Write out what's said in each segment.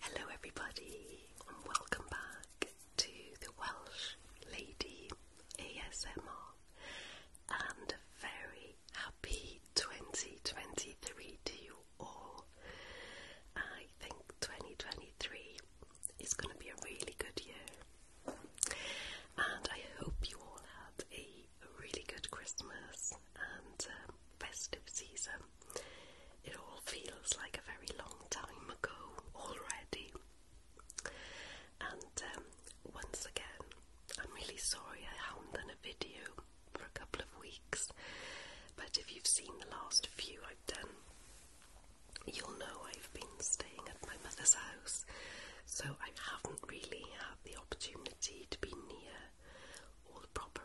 Hello, everybody, and welcome back to the Welsh Lady ASMR, and a very happy 2023 to you all. I think 2023 is going to be a really good year, and I hope you all had a really good Christmas and uh, festive season. It all feels like a very long time ago already. And um, once again, I'm really sorry I haven't done a video for a couple of weeks, but if you've seen the last few I've done, you'll know I've been staying at my mother's house, so I haven't really had the opportunity to be near all proper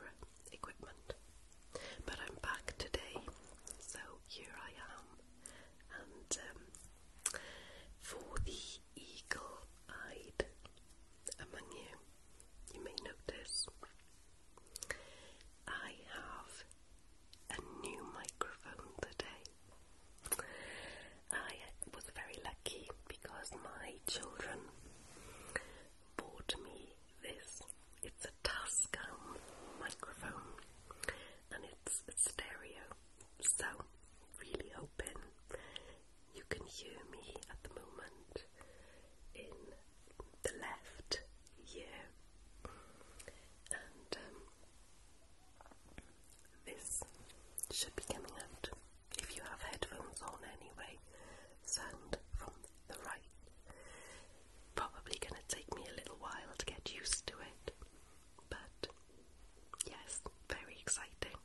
equipment. But I'm back today, so here I am. And um, for the eagle eyed among you, you may notice I have a new microphone today. I was very lucky because my children bought me this. It's a Tascam microphone and it's a stereo, so really hoping you can hear me at the moment in the left ear. And um, this should be coming out if you have headphones on anyway. Sound from the right. Probably going to take me a little while to get used to it, but yes, very exciting.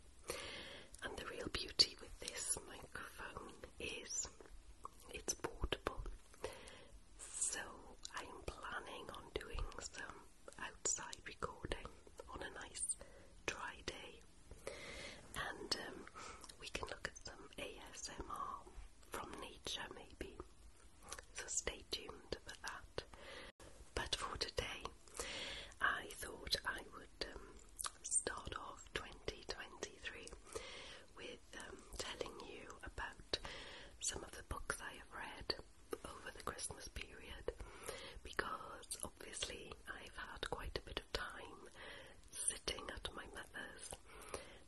And the real beauty with this microphone is it's portable. So I'm planning on doing some outside recording on a nice dry day and um, we can look at some ASMR from nature maybe. So stay tuned for that. But for today, I thought I would um, start off 2023 with um, telling you about some of the books I have read over the Christmas period because obviously I've had quite a bit of time sitting at my mother's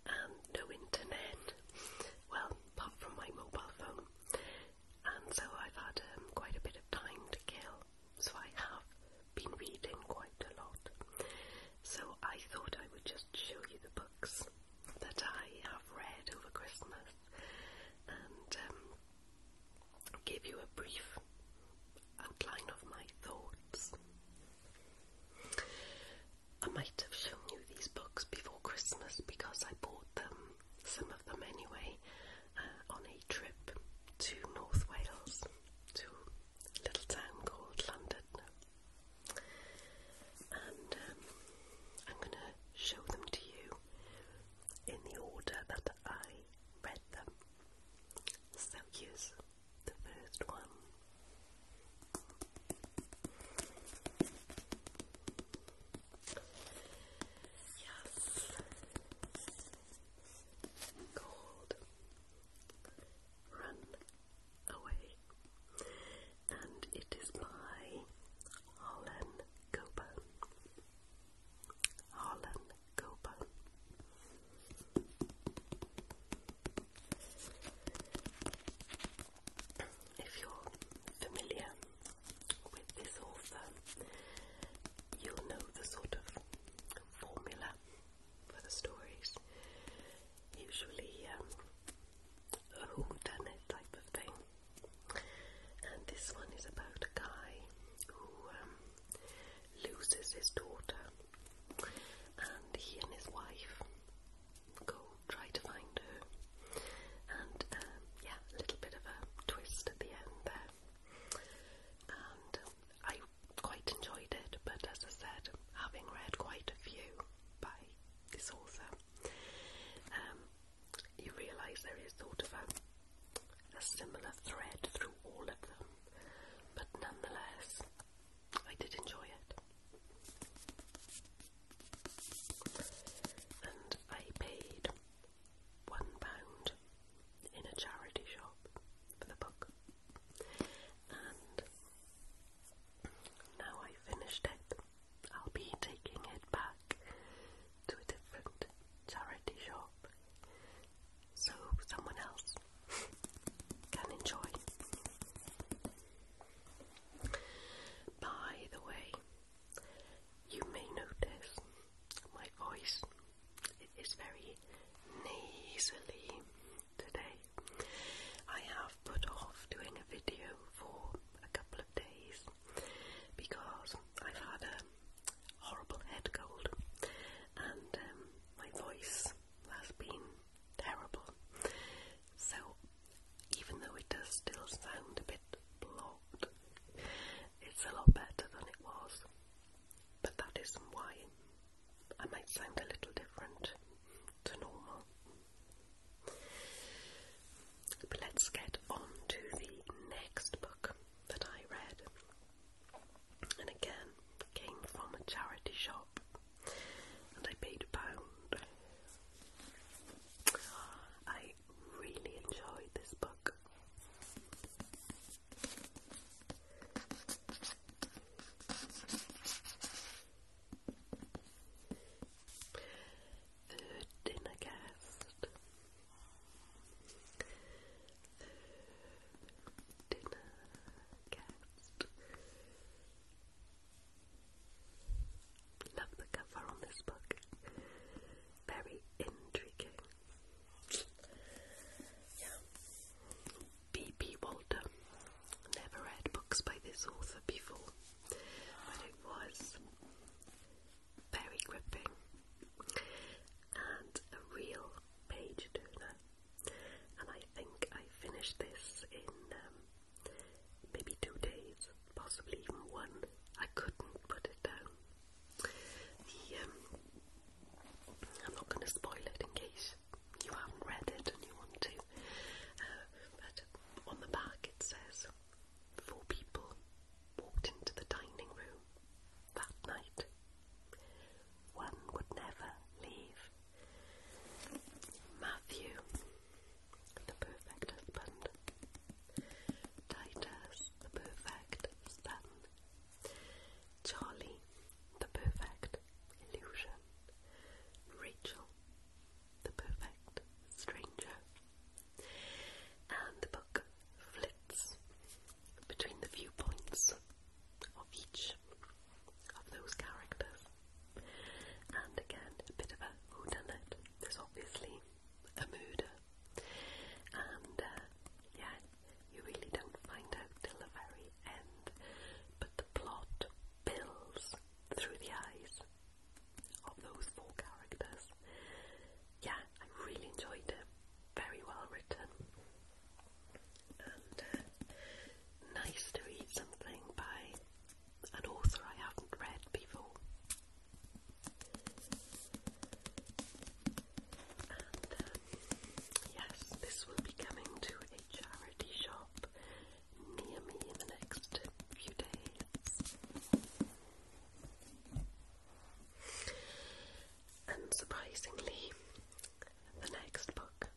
and no internet, well, apart from my mobile phone. And so I've had um, quite a bit of time to kill, so I have been reading quite a lot. So I thought I would just show you the books that I have read over Christmas and um, give you a brief outline of my thoughts. I might have shown you these books before Christmas because I bought them, some of them anyway, uh, on a trip to North Wales, to a little town called London. And um, I'm going to show them to you in the order that I read them. So here's the first one. Yes. Called Run Away. And it is by Harlan Coben. Harlan Copa. If you're familiar with this author, you'll know the sort of formula for the stories. Usually um, a whodunit type of thing. And this one is about a guy who um, loses his daughter and he and his wife go try to find her. And um, yeah, a little bit of a twist at the end there. And I quite enjoyed it, but as I said, having read quite a few by this author, um, you realise there is sort of a a similar thread through all of them, but nonetheless, I did enjoy it. And I paid one pound in a charity shop for the book. And now I finished it, I'll be taking it back to a different charity shop so someone else can enjoy. By the way, you may notice my voice is very nasally today. I have put off doing a video for a couple of days because I've had a horrible head cold, and um, my voice has been terrible. So, even though it does still sound a bit blocked, it's a lot better than it was. But that isn't why I might sound a little different to normal. But let's get on to the next book that I read and again came from a charity shop and I paid a pound. I really enjoyed this book. The Dinner Guest third dinner Love the cover on this book. Very intriguing. Yeah. B.P. Walter. Never read books by this author before, but it was very gripping and a real page turner. And I think I finished this in um, maybe two days, possibly even one. I couldn't put it down. The, um, I'm not going to spoil it in case you haven't read it and you want to. Uh, but on the back it says, Four people walked into the dining room that night. One would never leave. Matthew, the perfect husband. Titus, the perfect son. Charlie, the perfect illusion. Rachel, the perfect stranger. And the book flits between the viewpoints of each of those characters. And again, a bit of a whodunit. There's obviously a murder. And uh, yeah, you really don't find out till the very end. But the plot builds through the eyes of those four characters. Yeah, I really enjoyed it very well written and uh, nice to read something by an author I haven't read before. And um, yes, this will be coming to a charity shop near me in the next few days. Unsurprisingly, the next book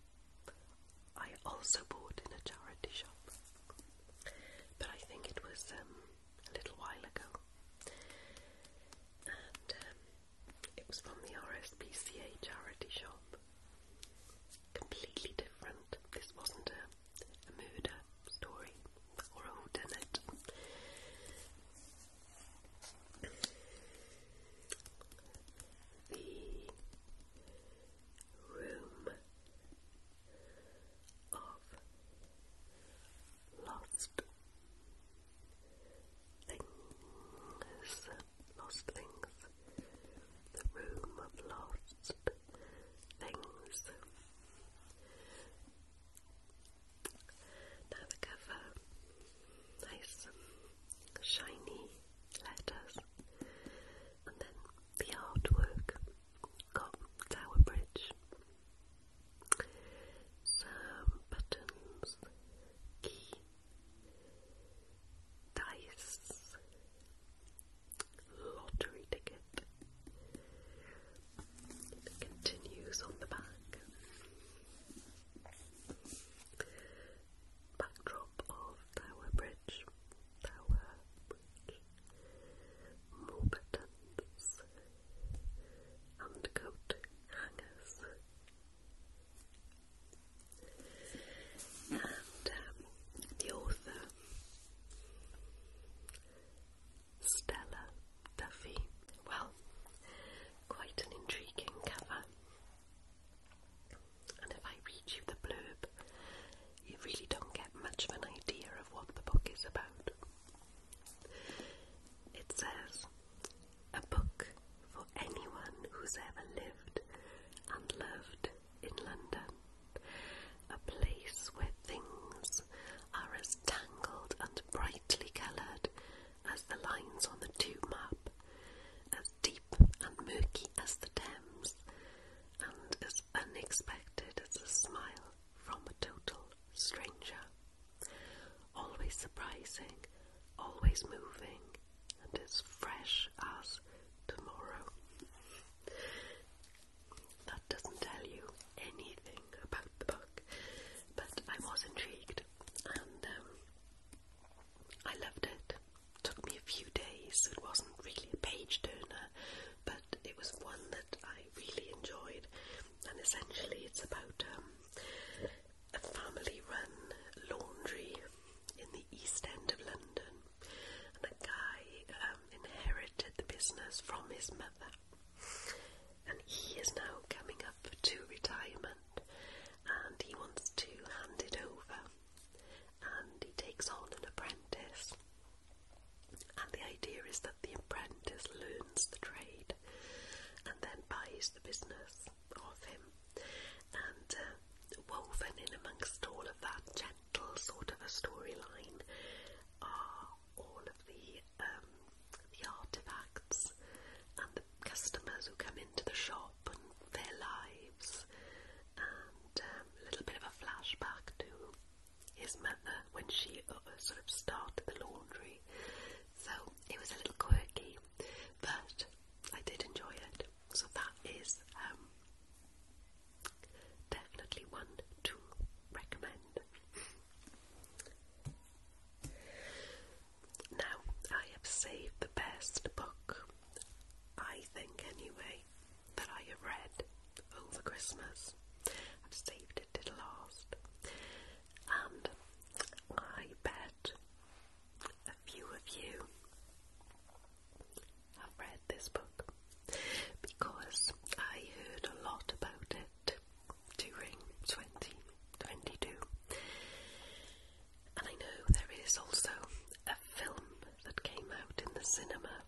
I also bought in a charity shop, but I think it was um, a little while ago, and um, it was from the RSPCA charity shop. Completely different. This wasn't a murder story or a whodunit the room of lost things, lost things, the room of lost things. Now the cover, nice shiny letters, and then the artwork, Cotton Tower Bridge, some buttons, key, dice, lottery ticket. It continues on the back. Backdrop of Tower Bridge, Tower Bridge, Morpetons, Undercoat Hangers, and um, the author Stella Duffy. Well, quite an intriguing cover. And if I read you the blurb, you really don't get much of an idea of what the book is about. It says, a book for anyone who's ever lived and loved in London, a place where things are as tangled and brightly coloured as the lines on the tube map, as deep and murky as the Thames, and as unexpected as a smile from a total stranger. Always surprising, always moving, and as fresh as tomorrow. That doesn't tell you anything anything about the book, but I was intrigued and um, I loved it. Took me a few days, it wasn't really a page turner, but it was one that I really enjoyed. And essentially, it's about um, a family run laundry in the east end of London. And a guy um, inherited the business from his mother, and he is now coming up to retirement and he wants to hand it over. And he takes on an apprentice. And the idea is that the apprentice learns the trade and then buys the business of him. And uh, woven in amongst all of that gentle sort of a storyline are all of the um, the artifacts and the customers who come into the shop and their lives, and um, a little bit of a flashback to his mother when she uh, sort of started the laundry. So it was a little quirky, but I did enjoy it. So that is um, definitely one to recommend. Now, I have saved the best book, I think anyway, that I have read over Christmas. I've saved it to the last. And I bet a few of you have read this book because I heard a lot about it during 2022. And I know there is also a film that came out in the cinema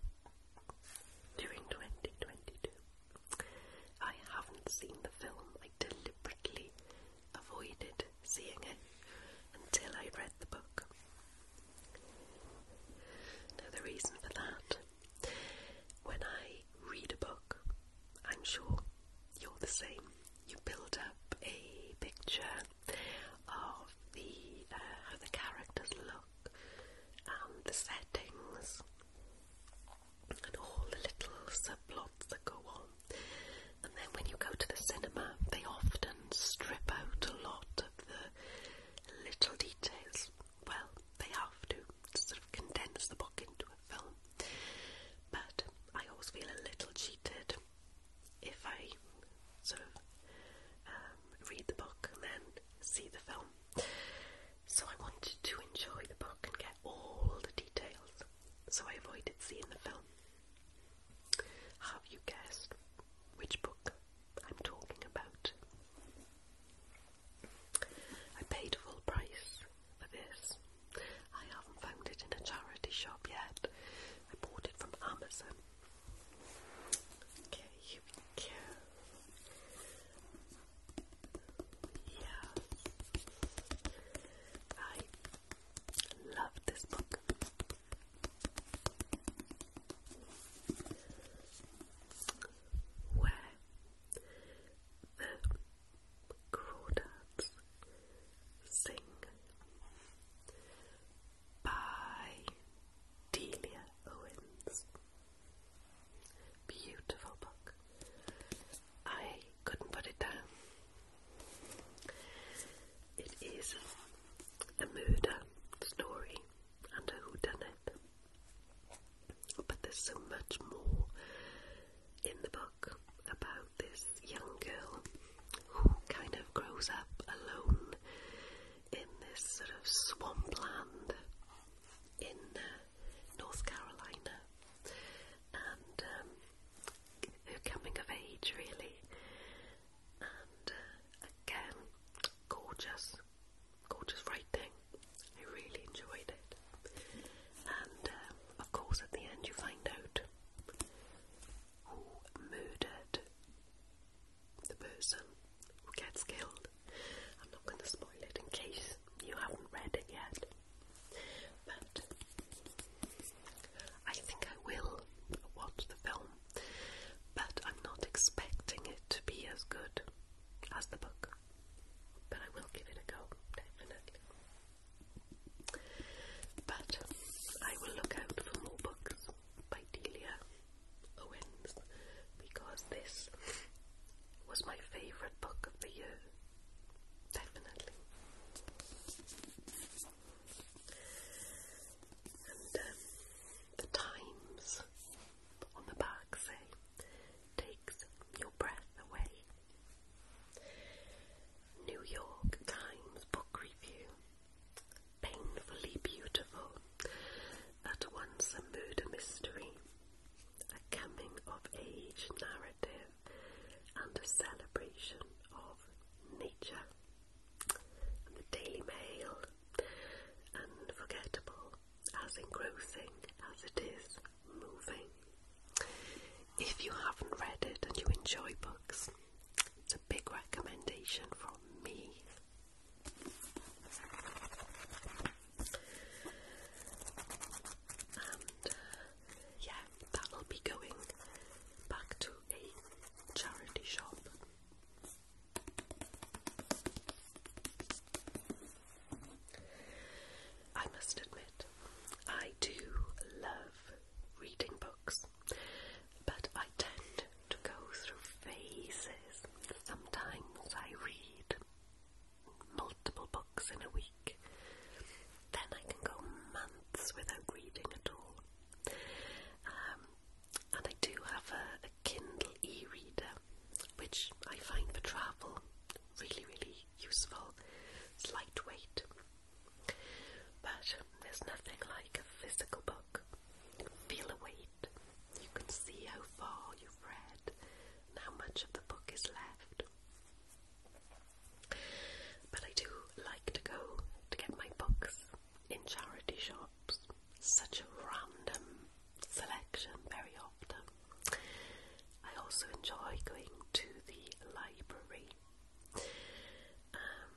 during 2022. I haven't seen the film, I deliberately avoided seeing it until I read the book. Now, the reason for that when I read a book, I'm sure you're the same. You build up a picture of the uh, how the characters look and the settings and all the little subplots that go on. And then when you go to the cinema, they often strip out a lot of the little details well, they have to, sort of condense the book into a film. But I always feel a little cheated if I sort of um, read the book and then see the film. So I wanted to enjoy the book and get all the details, so I avoided seeing the film. Have you guessed which book I'm talking about? I paid full price for this. I haven't found it in a charity shop yet. I bought it from Amazon. Okay, here Yeah. I love this book. Where the crawdads sing by Delia Owens. Beautiful book. I couldn't put it down. It is a murder story and a whodunit. But there's so much more in the book about this young girl who kind of grows up alone in this sort of swampland in uh, North Carolina and um, her coming of age really and uh, again gorgeous gorgeous writing. I really enjoyed it. And um, of course, at the end, you find out who murdered the person who gets killed. I'm not going to spoil it in case you haven't read it yet. But I think I will watch the film, but I'm not expecting it to be as good as the book. But I will give it a go, definitely. But I will look out for more books by Delia Owens because this was my favourite book of the year. Definitely. And um, the times on the back say takes your breath away. New York Times book review. Painfully beautiful. At once a murder mystery, a coming of age narrative, and a celebration of nature. And the Daily Mail. Unforgettable as engrossing as it is moving. If you haven't read it and you enjoy books, it's a big recommendation from me. Uh, yeah, that'll be going back to a charity shop I must admit, I do love reading books, but I tend to go through phases. Sometimes I read multiple books in a week, then I can go months without reading at all. Um, and I do have a, Kindle e-reader, which I find for travel really, really useful. It's lightweight, but there's nothing like a physical book. feel the weight. You can see how far you've read how much of the book is left. But I do like to go to get my books in charity shops. Such a random selection very often. I also enjoy going to the library. Um,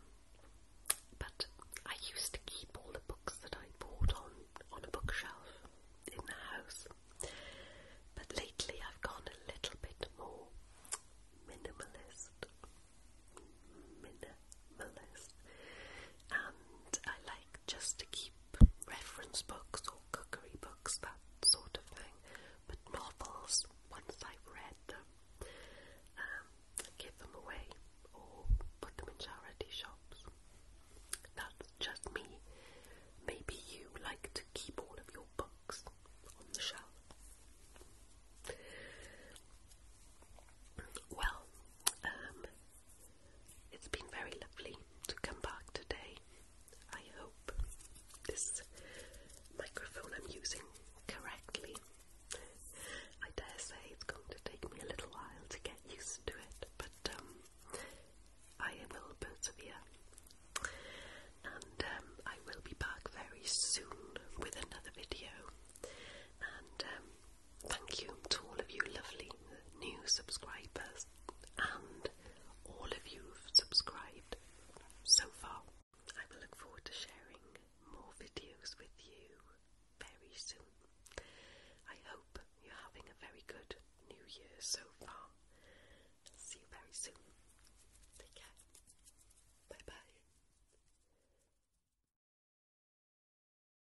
but I used to keep all the books that I bought on on a bookshelf in the house. But lately I've gone a little bit more minimalist. Minimalist. And I like just to keep reference books or cookery books, that sort of thing. But novels, once I've read them, um, give them away or put them in charity shops. That's just me. Maybe you like to keep all of your books on the shelf. Well, um, it's been very lovely to come back today. I hope this microphone I'm using correctly. I dare say it's going to take me a little while to get used to it, but um, I will persevere. And um, I will be back very soon with another video. And um, Thank you to all of you lovely new subscribers and all of you who've subscribed so far. I will look forward to sharing more videos with you very soon. I hope you're having a very good new year so far. See you very soon. Take care. Bye bye.